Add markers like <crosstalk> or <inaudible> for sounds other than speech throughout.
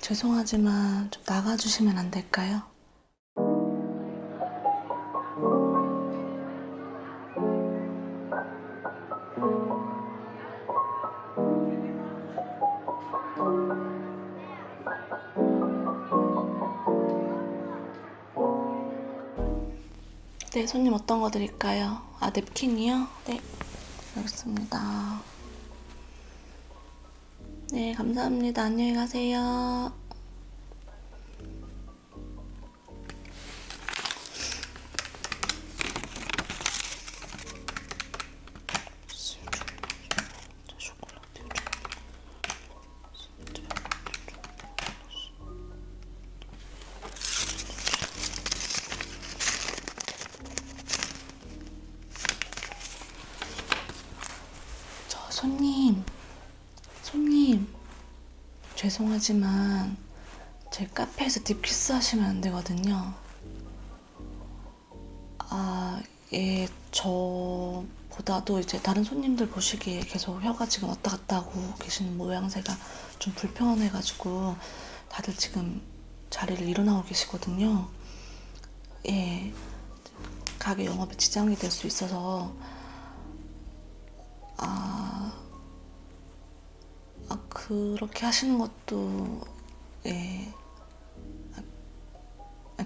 죄송하지만 좀 나가주시면 안 될까요? 네, 손님 어떤 거 드릴까요? 아, 냅킨이요? 네, 알겠습니다. 네, 감사합니다. 안녕히 가세요. 저 손님, 손님, 죄송하지만 제 카페에서 딥키스 하시면 안 되거든요. 아, 예, 저보다도 이제 다른 손님들 보시기에 계속 혀가 지금 왔다 갔다 하고 계시는 모양새가 좀 불편해가지고 다들 지금 자리를 일어나고 계시거든요. 예, 가게 영업에 지장이 될 수 있어서 아, 아 그렇게 하시는 것도 예,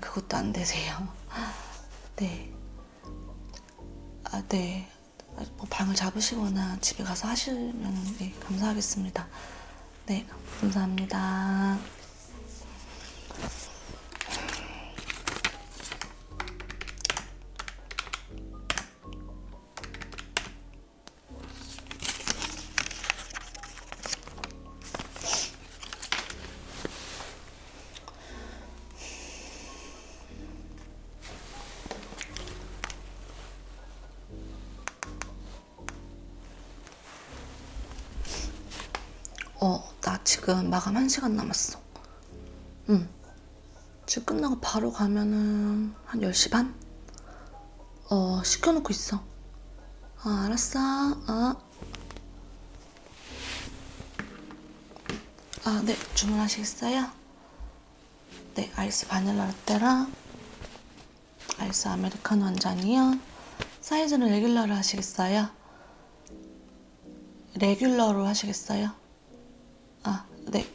그것도 안 되세요. 네. 아, 네. 뭐 방을 잡으시거나 집에 가서 하시면 네, 감사하겠습니다. 네, 감사합니다. 어, 나 지금 마감 1시간 남았어. 응. 지금 끝나고 바로 가면은 한 10시 반? 어, 시켜놓고 있어. 아, 알았어. 아. 아, 네. 주문하시겠어요? 네, 아이스 바닐라 라떼랑 아이스 아메리카노 한 잔이요. 사이즈는 레귤러로 하시겠어요? 레귤러로 하시겠어요? 아, 네.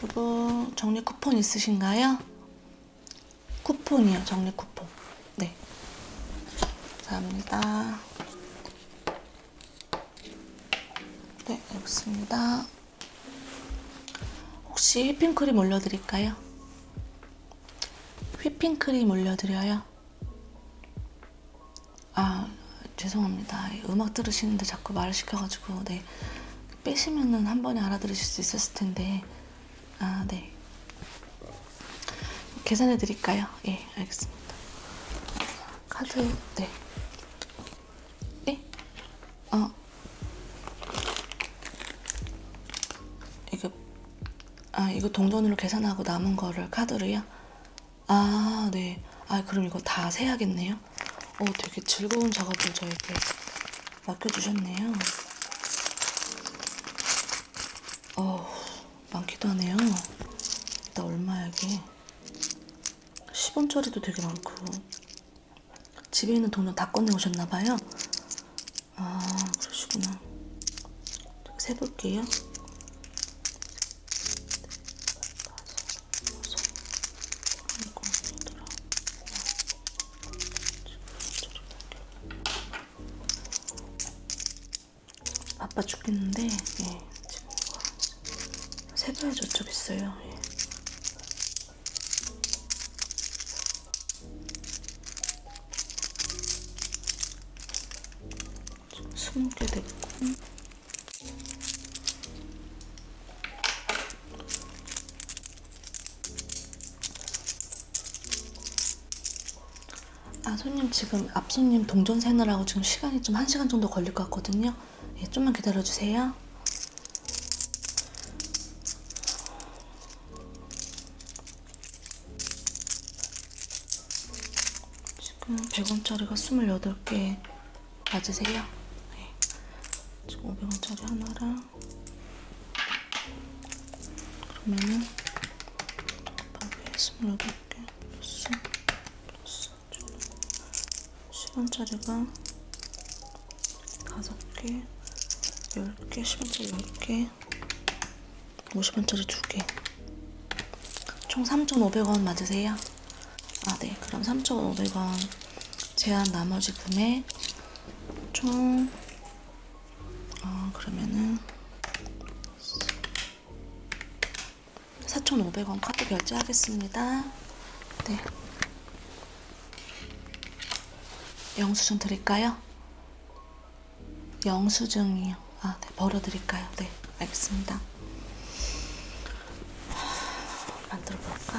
그리고 정리 쿠폰 있으신가요? 쿠폰이요. 적립 쿠폰. 네. 감사합니다. 네, 알겠습니다. 혹시 휘핑크림 올려드릴까요? 휘핑크림 올려드려요? 아, 죄송합니다. 음악 들으시는데 자꾸 말을 시켜가지고, 네. 빼시면은 한 번에 알아들으실 수 있었을 텐데, 아, 네. 계산해 드릴까요? 예, 알겠습니다. 카드, 네. 네? 어. 이거, 아, 이거 동전으로 계산하고 남은 거를 카드로요? 아, 네. 아, 그럼 이거 다 세야겠네요? 어, 되게 즐거운 작업을 저에게 맡겨주셨네요. 어우, 많기도 하네요. 나 얼마야, 이게. 10원짜리도 되게 많고. 집에 있는 동전 다 꺼내오셨나봐요. 아, 그러시구나. 세볼게요. 네, 바빠 죽겠는데, 예, 지금 세발 저쪽 있어요. 예. 스무 개 됐고. 아 손님 지금 앞손님 동전 세느라고 지금 시간이 좀 1시간 정도 걸릴 것 같거든요 예, 좀만 기다려주세요 지금 100원짜리가 28개 맞으세요? 네. 지금 500원짜리 하나랑 그러면은 여기 스물여덟 개 플러스 플러스 시간짜리가 다섯 개, 열 개, 시간짜리 열 개, 오십 원짜리두 개. 총 3,500원 맞으세요? 아, 네. 그럼 3,500원 제한 나머지 금액 총 어, 그러면은 4,500원 카드 결제하겠습니다. 네. 영수증 드릴까요? 영수증이요. 아, 네. 벌어 드릴까요? 네. 알겠습니다. 만들어 볼까?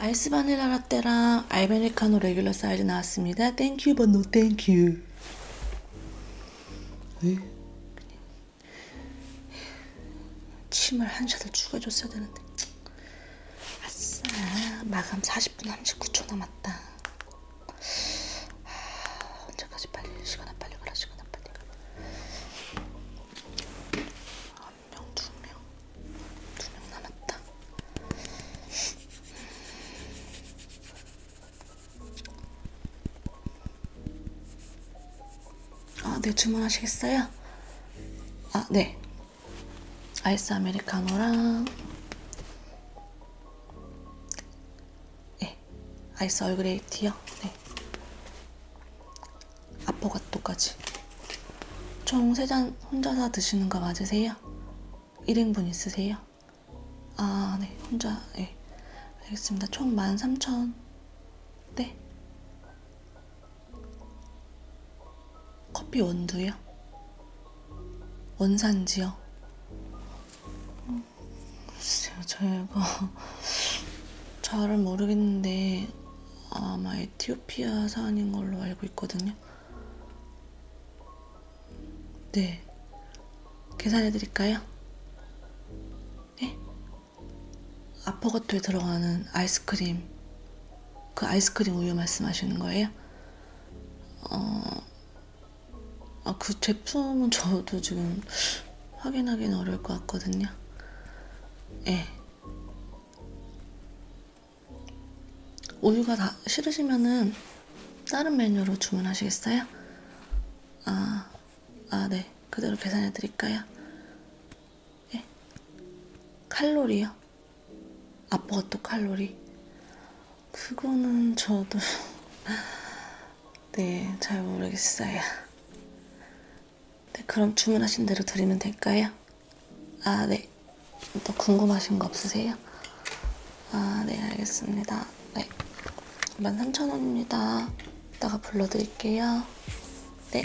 알스 네, 바닐라라 라떼랑 아메리카노 레귤러 사이즈 나왔습니다. 땡큐 but no 땡큐. 침을 한 잔을 추가줬어야 되는데 아싸 마감 40분 39초 남았다 아, 언제까지 빨리 시간아 빨리 가라 시간아 빨리 가라 한 명 두 명 두 명 남았다 아, 네, 주문하시겠어요? 아, 네. 아이스 아메리카노랑 네, 아이스 얼그레이티요. 네. 아포가토까지. 총 3잔 혼자서 드시는 거 맞으세요? 1행분 있으세요? 아, 네. 혼자, 예. 네. 알겠습니다. 총 13,000. 네. 커피 원두요? 원산지요? 음, 글쎄요, 저희가 <laughs> 잘은 모르겠는데 아마 에티오피아산인 걸로 알고 있거든요. 네. 계산해 드릴까요? 네? 아퍼거토에 들어가는 아이스크림, 그 아이스크림 우유 말씀하시는 거예요? 어, 아, 그 제품은 저도 지금 확인하기는 어려울 것 같거든요. 예. 네. 우유가 다 싫으시면은 다른 메뉴로 주문하시겠어요? 아, 아, 네. 그대로 계산해 드릴까요? 예? 칼로리요? 아빠가또 칼로리? 그거는 저도 <laughs> 네, 잘 모르겠어요. 네, 그럼 주문하신 대로 드리면 될까요? 아, 네. 또 궁금하신 거 없으세요? 아, 네, 알겠습니다. 네. 13,000원입니다. 이따가 불러드릴게요. 네.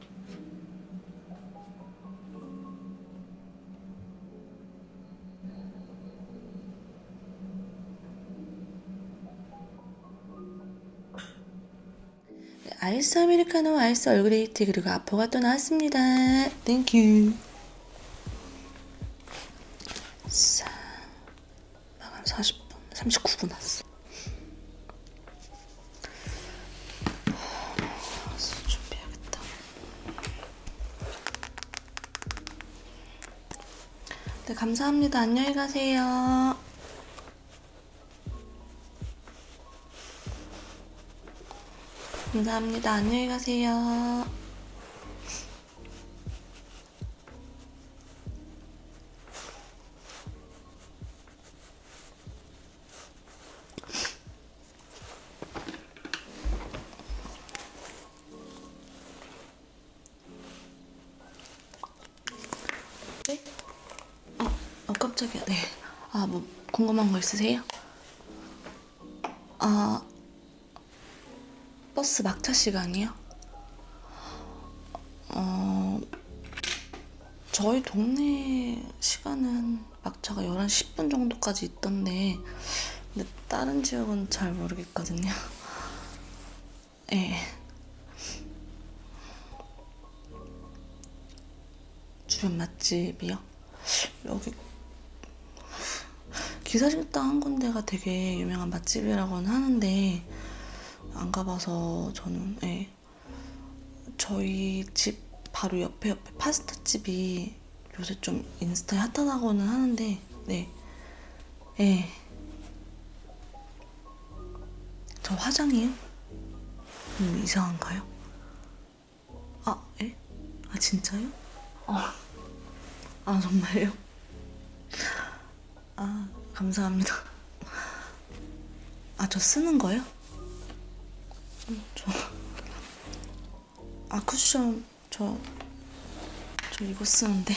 아이스 아메리카노, 아이스 얼그레이트 그리고 아포가 또 나왔습니다. 땡큐. 자, 마감 40분, 39분 왔어. 준비해야겠다. 네, 감사합니다. 안녕히 가세요. 감사합니다. 안녕히 가세요. 네? 아, 아 깜짝이야. 네. 아, 뭐 궁금한 거 있으세요? 아, 버스 막차 시간이요? 어, 저희 동네 시간은 막차가 11시 10분 정도까지 있던데 근데 다른 지역은 잘 모르겠거든요. <laughs> 예. 네. 주변 맛집이요? 여기 기사식당 한 군데가 되게 유명한 맛집이라고는 하는데 안 가봐서 저는 예. 저희 집 바로 옆에 옆에 파스타집이 요새 좀 인스타에 핫하다고는 하는데 네. 예. 저 화장이요? 음, 이상한가요? 아, 예? 아, 진짜요? 어. 아, 정말요? 아, 감사합니다. 아, 저 쓰는 거요? 음, 저. 아, 쿠션, 저. 저 이거 쓰는데.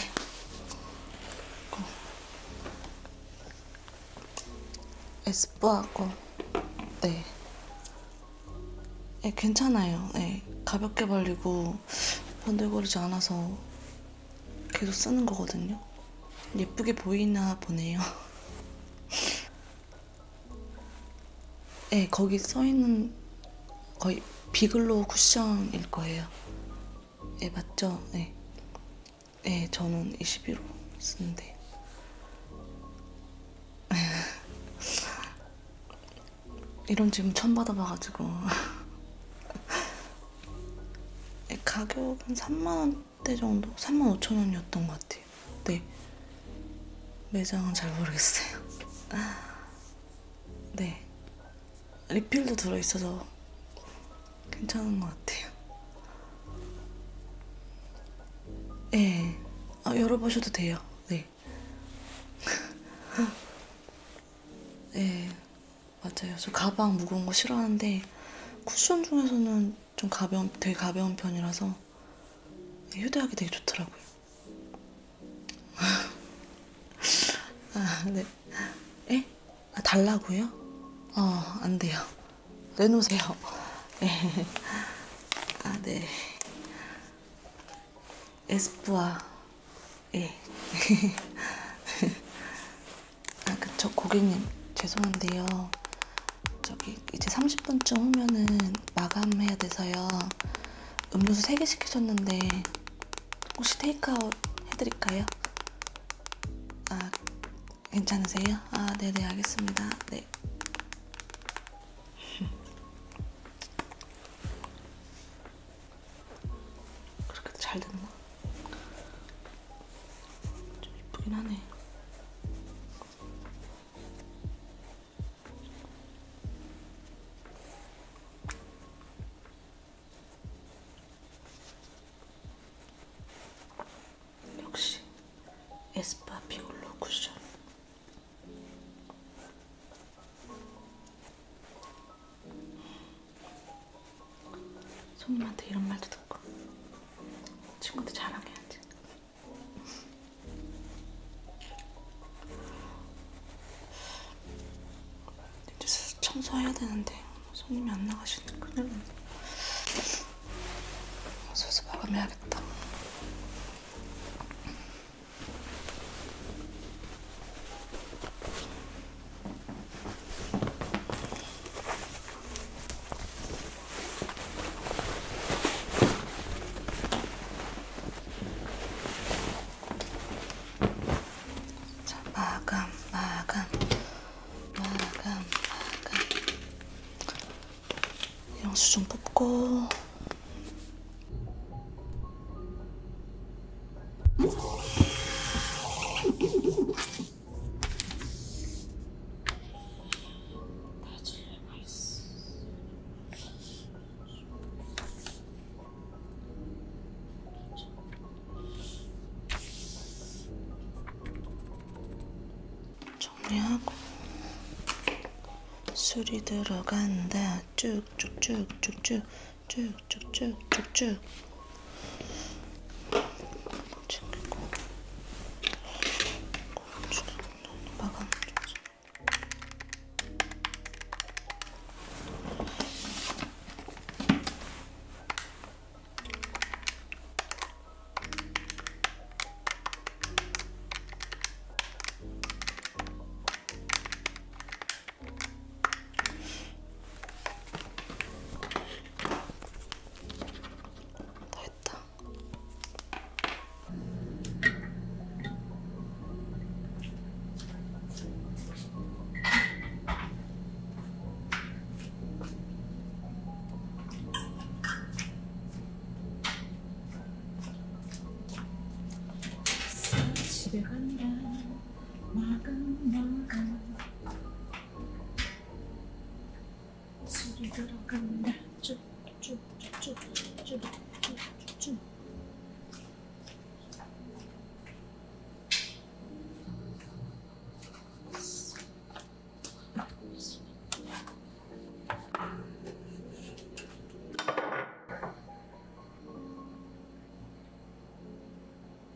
이거. 에스쁘아 거. 네. 네, 괜찮아요. 네. 가볍게 발리고 번들거리지 않아서 계속 쓰는 거거든요. 예쁘게 보이나 보네요. <laughs> 네, 거기 써있는 거의 비글로우 쿠션일 거예요. 네, 맞죠? 네. 네, 저는 21호 쓰는데. <laughs> 이런 질문 처음 받아봐가지고. <laughs> 네, 가격은 3만원 3만원대 정도? 3만 5천원이었던 것 같아요 네 매장은 잘 모르겠어요 <laughs> 네 리필도 들어있어서 괜찮은 것 같아요 예 네. 아, 열어보셔도 돼요 네 <laughs> 예. 네. 맞아요. 저 가방 무거운 거 싫어하는데 쿠션 중에서는 좀 가벼운, 되게 가벼운 편이라서 네, 휴대하기 되게 좋더라고요. <laughs> 아, 네. 에? 아, 달라고요? 어, 안 돼요. 내놓으세요. 네. 아, 네. 에스쁘아. 예. <laughs> 아, 그쵸. 고객님, 죄송한데요. 저기, 이제 30분쯤 후면은 마감해야 돼서요. 음료수 3개 시키셨는데, 혹시 테이크아웃 해드릴까요? 아, 괜찮으세요? 아, 네네, 알겠습니다. 네. <laughs> 그렇게 잘 됐나? 좀 이쁘긴 하네. 역시 에스파 비올로 쿠션. 손님한테 이런 말도 듣고 친구도 자랑해야지. 이제 슬슬 청소해야 되는데 손님이 안 나가시니까 큰일 났네. 슬슬 마감해야겠다. 자, 마감, 마감, 마감, 마감. 영수 좀 뽑고. 정리하고 술이 들어간다 쭉쭉쭉쭉쭉 쭉쭉쭉쭉쭉 챙기고 막아놔 됐다. 집에 간다. 술이 들어간다 쭉쭉쭉쭉쭉쭉쭉쭉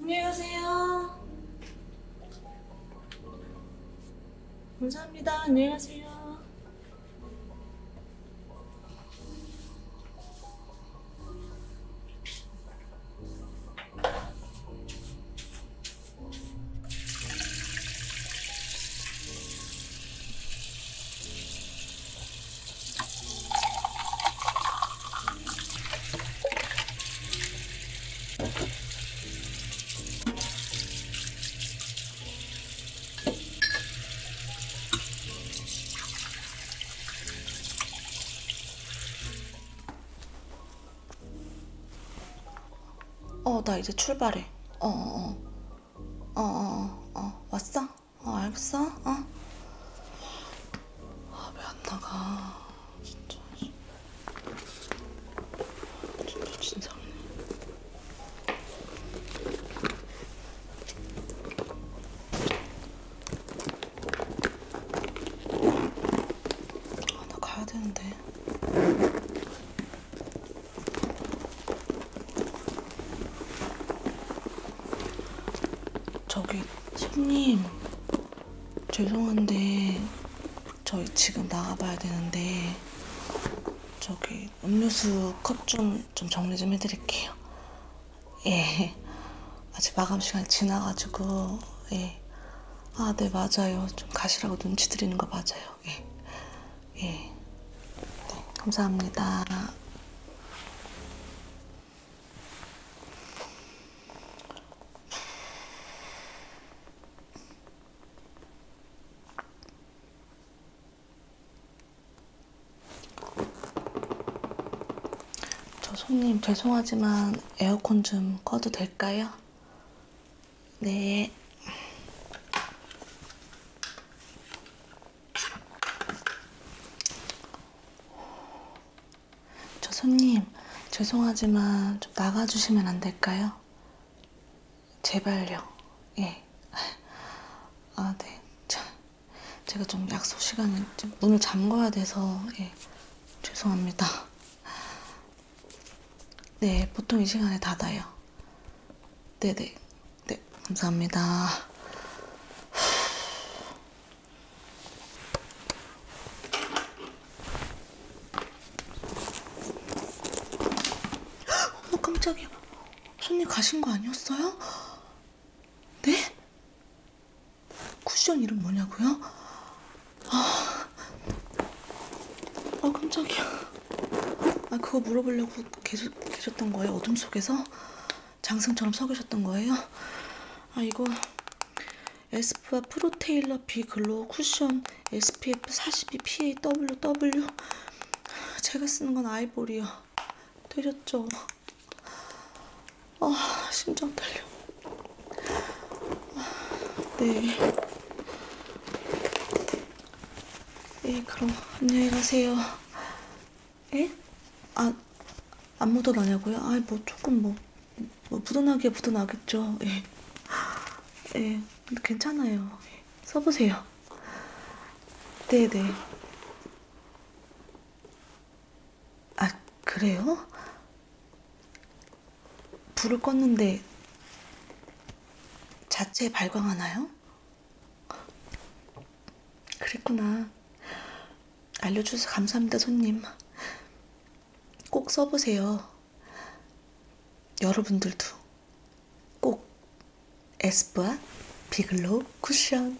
안녕히 가세요. 감사합니다. 안녕히 가세요. 어, 나 이제 출발해. 어, 어, 어, 어, 어, 어. 어. 왔어? 어, 알겠어? 어? 아, 왜 안 나가? 진짜. 진짜, 진짜. 아, 나 가야 되는데. 저기 손님 죄송한데 저희 지금 나가봐야 되는데 저기 음료수 컵 좀 좀 정리 좀 해드릴게요. 예. 아직 마감 시간 지나가지고 예. 아, 네 맞아요. 좀 가시라고 눈치 드리는 거 맞아요. 예. 예. 네, 감사합니다. 저 손님 죄송하지만 에어컨 좀 꺼도 될까요? 네. 저 손님, 죄송하지만 좀 나가주시면 안 될까요? 제발요. 예. 아, 네. 자, 제가 좀 약속 시간에 좀 문을 잠궈야 돼서, 예. 죄송합니다. 네, 보통 이 시간에 닫아요. 네네. 네, 감사합니다. 어머 깜짝이야. 손님 가신 거 아니었어요? 네? 쿠션 이름 뭐냐고요? 아, 아 깜짝이야. 아 그거 물어보려고 계속 계셨던 거예요? 어둠 속에서 장승처럼 서 계셨던 거예요? 아 이거 에스쁘아 프로테일러 비글로 쿠션 SPF 42 PAWW 제가 쓰는 건 아이보리요. 때렸죠. 아 심장 떨려. 아, 네. 예, 그럼 안녕히 가세요. 에? 아, 안 묻어나냐고요? 아이, 뭐, 조금 뭐, 뭐, 묻어나게 묻어나겠죠. 예. 예, 괜찮아요. 써보세요. 네네. 네. 아, 그래요? 불을 껐는데 자체 발광하나요? 그랬구나. 알려주셔서 감사합니다, 손님. 꼭 써보세요. 여러분들도 꼭 에스쁘아 비글로우 쿠션.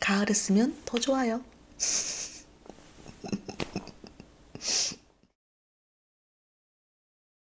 가을에 쓰면 더 좋아요. <laughs>